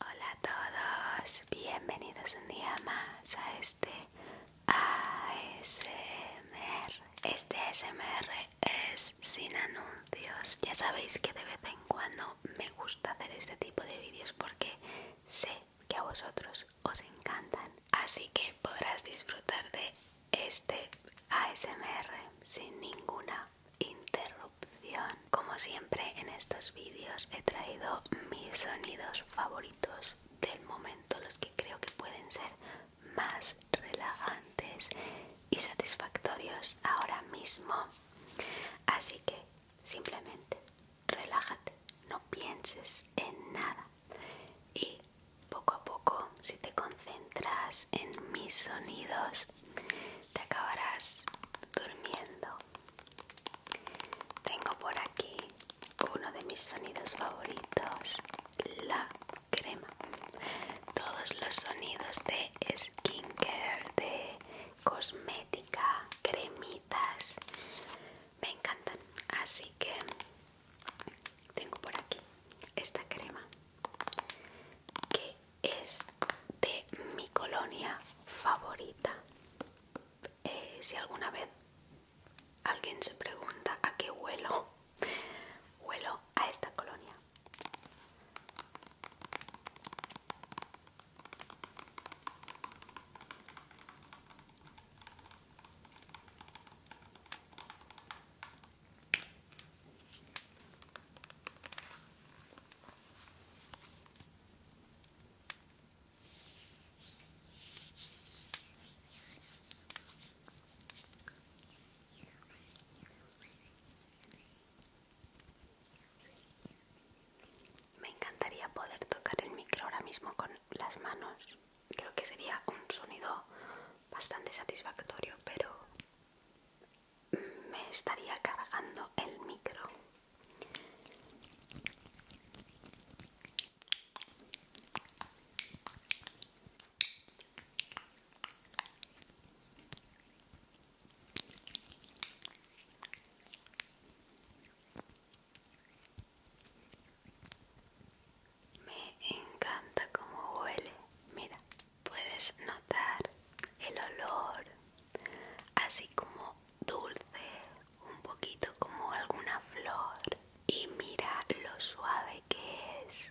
Hola a todos, bienvenidos un día más a este ASMR. Este ASMR es sin anuncios. Ya sabéis que de vez en cuando me gusta hacer este tipo de vídeos porque sé que a vosotros os encantan. Así que podrás disfrutar de este ASMR sin ninguna interrupción. Como siempre en estos vídeos he traído mis sonidos favoritos del momento, los que creo que pueden ser más relajantes y satisfactorios ahora mismo. Así que simplemente relájate, no pienses en nada y poco a poco si te concentras en mis sonidos te acabarás durmiendo tengo por aquí uno de mis sonidos favoritos, la crema. Todos los sonidos de skincare, de cosmética, cremitas, me encantan. Así que tengo por aquí esta crema que es de mi colonia favorita. Eh, si alguna vez alguien se pregunta a qué huelo, huelo a esta colonia. Me encantaría poder tocar el micro ahora mismo con las manos. Creo que sería un sonido bastante satisfactorio, pero me estaría cargando el micro. Me encanta como huele. Mira, puedes notar el olor así como dulce, un poquito como alguna flor. Y mira lo suave que es.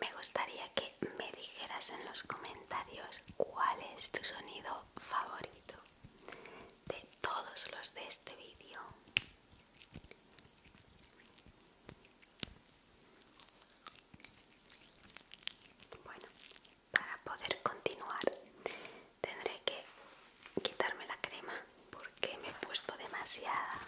Me gustaría que me dijeras en los comentarios cuál es tu sonido favorito de todos los de este vídeo. Bueno, para poder continuar tendré que quitarme la crema porque me he puesto demasiada.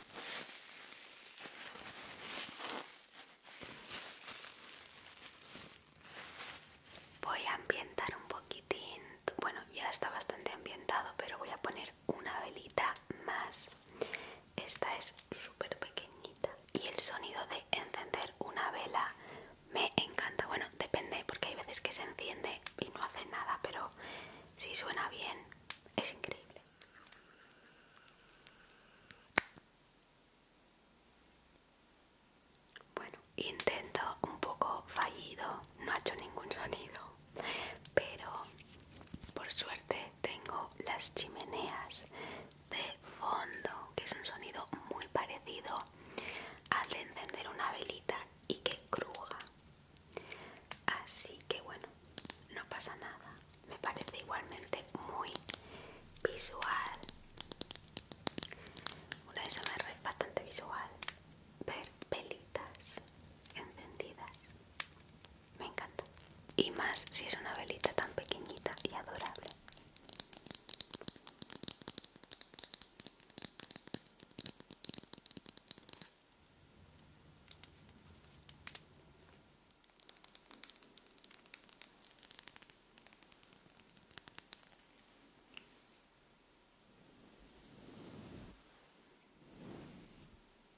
Voy a ambientar un poquitín, bueno ya está bastante ambientado, pero voy a poner una velita más esta es súper pequeñita. Y el sonido de encender una vela me encanta. Bueno, depende, porque hay veces que se enciende y no hace nada, pero si suena bien, es increíble. Bueno, intento un poco fallido, no ha hecho ningún sonido, pero por suerte tengo las chimeneas de fondo, que es un sonido muy parecido al de encender una velita y que cruja. Así que bueno, no pasa nada. Me parece igualmente muy visual. Una me es bastante visual. Ver velitas encendidas me encanta. Y más si es una velita tan pequeñita y adorable.